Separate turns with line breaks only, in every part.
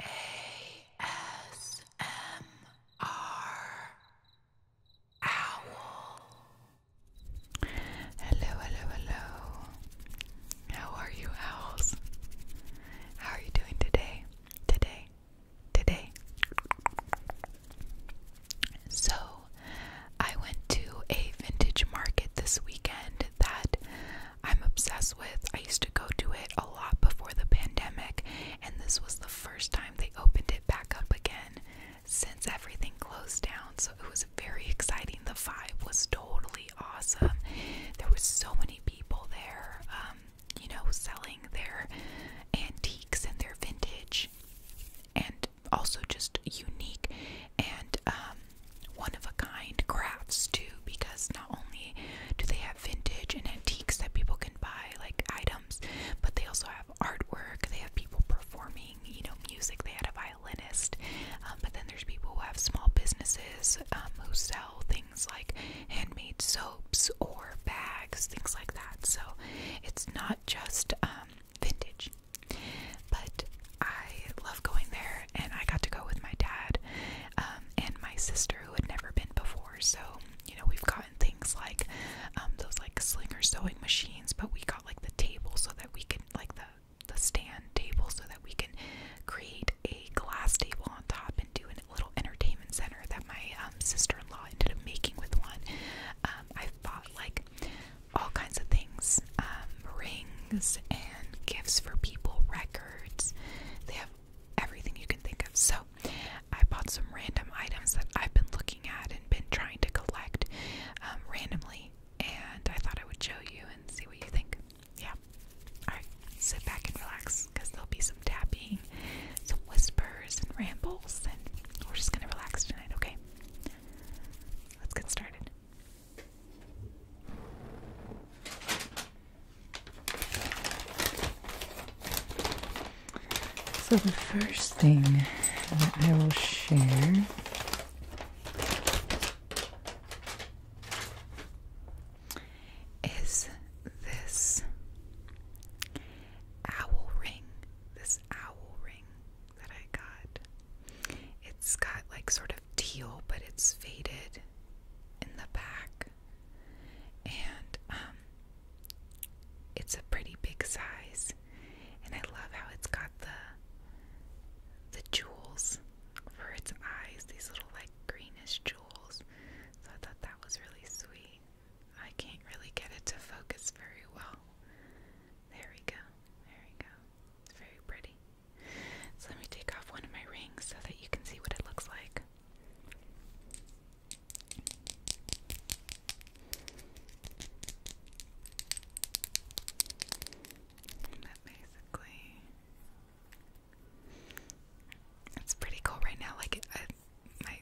ASMR Owl. Hello, hello, hello. How are you, owls? How are you doing today? Today? Today? So, I went to a vintage market this weekend that I'm obsessed with. I used to go to it a lot before the pandemic, and this was the first time they opened it back up again since everything closed down. So it was very exciting. The vibe was totally awesome. There was so many people there, um, you know, selling their antiques and their vintage, and also just unique and um, one of a kind crafts too, because not only do they have vintage and antiques that people can buy, like items, but they also have artwork, they have people performing, you know, music. They had a violinist, um, but then there's people who have small businesses um, who sell things like handmade soaps or bags, things like that. So it's not just um, vintage. But I love going there and I got to go with my dad um, and my sister who had never been before. So, you know, we've gotten things like um, those like slinger sewing machines, but we got like the table so that we could, like the the stand table so that we can create a glass table on top and do a little entertainment center that my um, sister-in-law ended up making with one. Um, I've bought like all kinds of things, um, rings and gifts for people, records. They have everything you can think of. So I bought some random items that I've been looking at and been trying to collect um, randomly, and I thought I would show you and see what you think. Yeah. Alright, sit back and relax because there'll be some tapping, some whispers, and rambles, and we're just gonna relax tonight, okay? Let's get started. So, the first thing that I will share is this owl ring. This owl ring that I got. It's got like sort of teal, but it's faded in the back, and um, it's a pretty big size. And I love how it's got the the jewels for its eyes, these little like greenish jewels. So I thought that was really sweet. I can't really get it to focus very well. There we go. There we go. It's very pretty. So let me take off one of my rings so that you can see what it looks like. That basically, it's pretty cool right now. Like my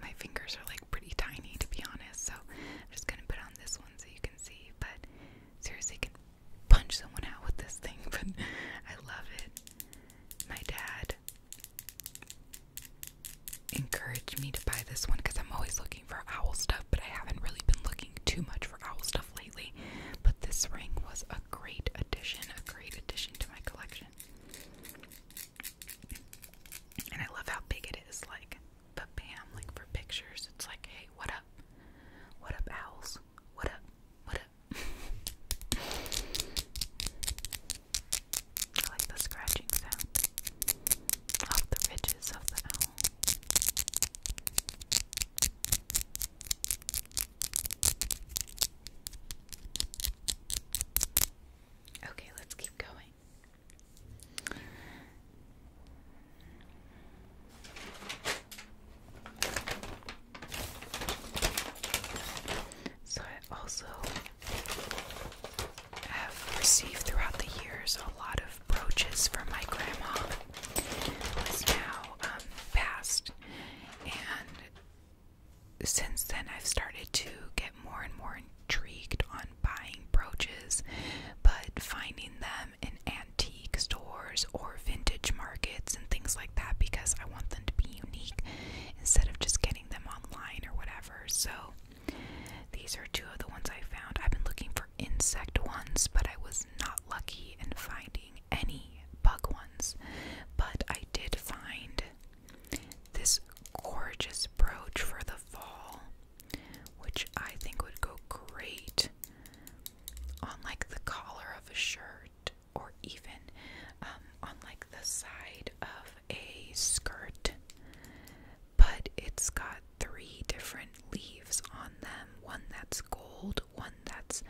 my fingers are like pretty tiny to be honest. So I'm just gonna put on this one so you can see. But seriously, punch someone out with this thing, but I love it. My dad encouraged me to buy this one because I'm always looking for owl stuff, but I haven't really been looking too much for owl stuff lately. But this ring was a great addition, a great addition to my collection. And I love how big it is, like, bam, like for pictures, it's like, hey, what up? What up, owls? What up? What up? I like the scratching sound off the ridges of the owl. Okay, let's keep going. So I also have received throughout the years a lot of brooches from my grandma, who is now um, passed, and since then I've started to get more and more intrigued on buying brooches, but finding them them um, in antique stores or vintage markets and things like that because I want them to be unique instead of just getting them online or whatever. So these are two of the ones I found. I've been looking for insect ones, but I was not lucky in finding any bug ones. But I did find this gorgeous brooch for the fall, which I think would go great on like the collar of a shirt or even um, on like the side of a skirt. But it's got three different leaves on them one that's gold, one that's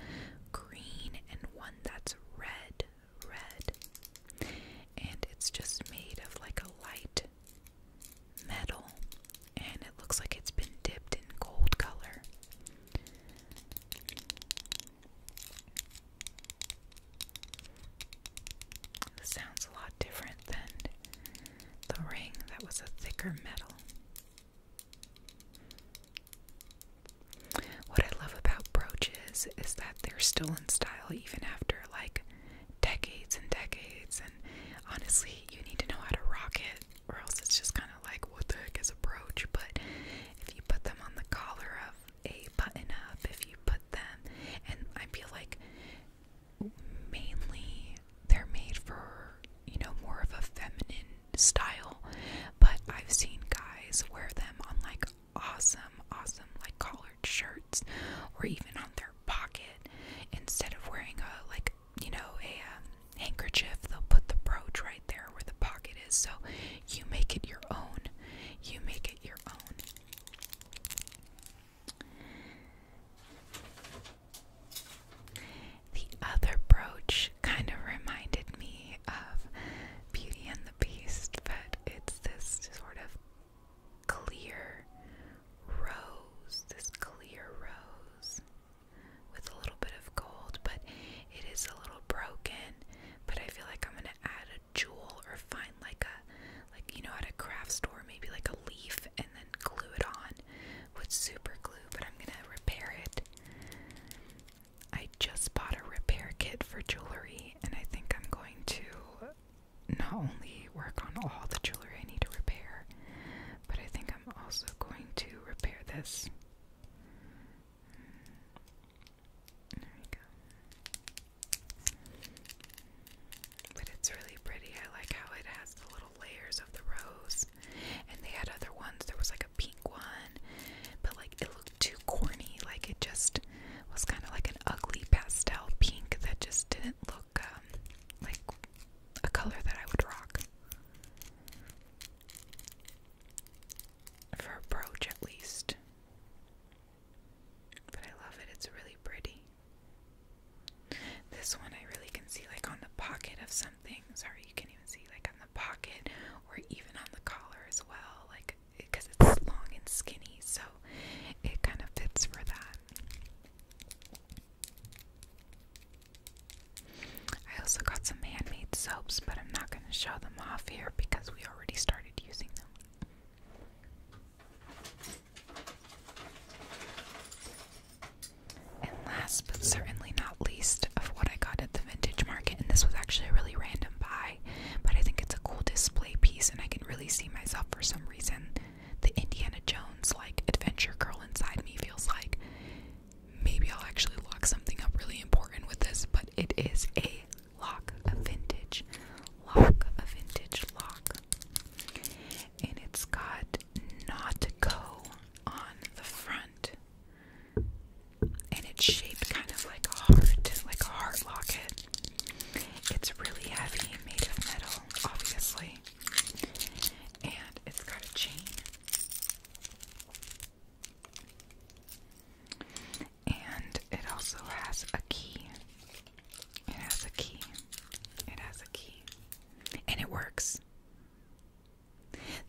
green, and one that's red. Red. And it's just made of like a light metal and it looks like it's been dipped in gold color. sounds a lot different than the ring that was a thicker metal. What I love about brooches is that they're still in style even after like decades and decades, and honestly, you need to know how to rock it or else it's just kind of like what the heck is a brooch. But if you put them on the collar of a button up, if you put them, and I feel like mainly they're made for you know more of a feminine style, but I've seen guys wear them on like awesome, awesome like collared shirts or even on their pocket instead of wearing a like you know, a um, handkerchief, they'll put the brooch right there where the pocket is. So you make it your own. You make it your own. The other brooch kind of reminded me of Beauty and the Beast, but it's this sort of clear rose, this clear rose with a little bit of gold, but it is a little broken. But I feel like I'm gonna add a jewel or find like a, like you know, at a craft store, maybe like a leaf and then glue it on with super glue. But I'm gonna repair it. I just bought a repair kit for jewelry, and I think I'm going to not only work on all the jewelry I need to repair, but I think I'm also going to repair this. There we go. But it's really pretty. I like how it has the little layers of the rose. And they had other ones. There was like a pink one. But like it looked too corny. Like it just was kind of like an ugly pastel pink that just didn't look um, like a color that I would rock. For a brooch, at least. But I love it, it's really pretty. This one I really can see, like on the pocket of something. Sorry, you can even see, like on the pocket or even on the collar as well, like because it's long and skinny, so it kind of fits for that. I also got some handmade soaps, but I'm not going to show them off here because we already started using them. And last but certainly not least of what I got at the vintage market, and this was actually a really random buy, but I think it's a cool display piece, and I can really see myself for some reason the Indiana Jones like adventure girl inside me feels like maybe I'll actually lock something up really important with this, but it is a lock, a vintage lock, a vintage lock. And it's got "not go" on the front. And it's shaped kind of like a heart, like a heart locket. It's really heavy, made of metal, obviously and it's got a chain. And it also has a key. It has a key. It has a key. And it works.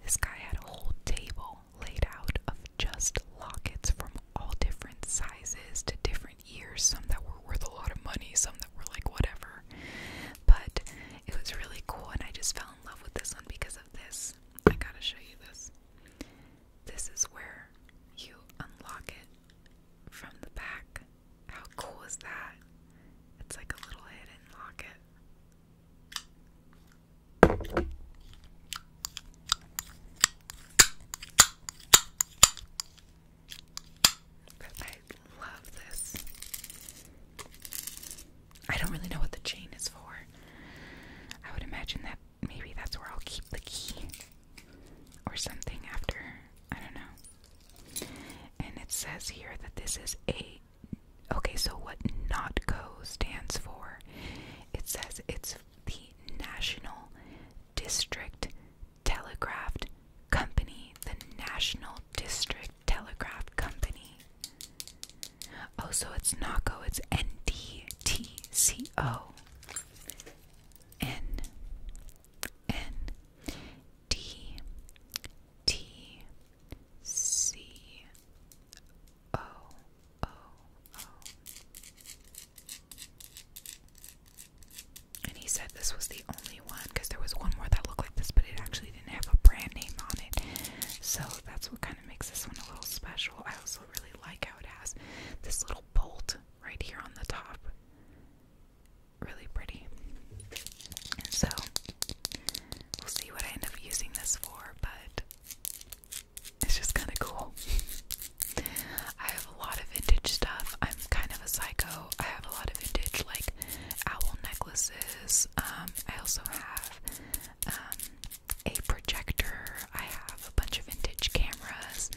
This guy had a whole table laid out of just lockets from all different sizes to different years, some that were worth a lot of money, some that were like whatever. But it was really cool, and I just fell in love with this one because of this. I gotta show you this. This is where you unlock it from the back. How cool is that? It's like a little hidden locket. I love this. I don't really know what the chain is for. I would imagine that maybe that's where I'll keep the key or something after. I don't know. And it says here that this is a. Okay, so what NOTCO stands for? It says it's the National District Telegraph Company, the National District Telegraph Company. Oh, so it's NACO, it's N D T C O. N N D T C O O oh. O. And he said this was the only one because there was one more that looked like this, but it actually didn't have a brand name on it. So that's what kind of makes this one a little special. I also really like how it has this little bolt right here on the top. Really pretty. so we'll see what I end up using this for, but it's just kind of cool. have a lot of vintage stuff. I'm kind of a psycho. I have a lot of vintage like owl necklaces. Um, I also have um, a projector. I have a bunch of vintage cameras.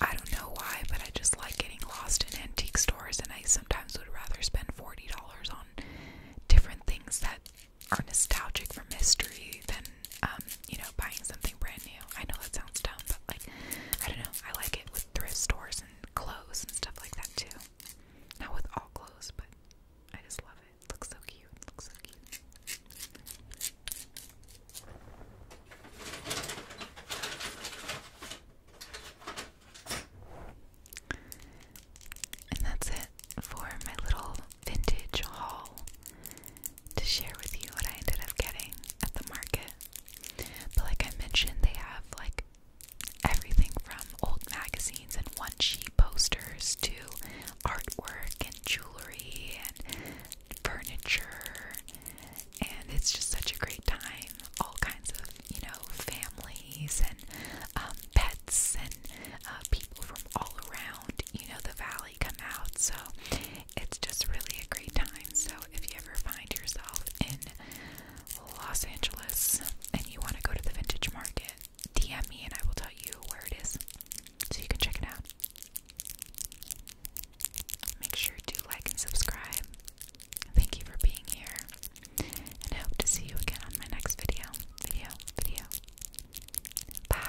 I don't know why, but I just like getting lost in antique stores, and I sometimes would rather spend forty dollars on different things that are nostalgic from history than um, you know buying something brand new. I know that sounds dumb, but like I don't know, I like it with thrift stores and clothes and stuff like that too. Not with all clothes, but I just love it. looks so cute. looks so cute. And that's it for my little vintage haul to share with you what I ended up getting at the market. But like I mentioned, they have like everything from old magazines and one sheet posters to artwork and jewelry and furniture. And it's just such a great time. All kinds of, you know, families and um, pets and uh, people from all around, you know, the valley come out. So it's just really a great time. So if you ever find yourself in Los Angeles and you want to go to the vintage market, DM me and I will tell you where it is so you can check it out. Make sure to like and subscribe. Thank you for being here. And I hope to see you again on my next video. Video, video. Bye.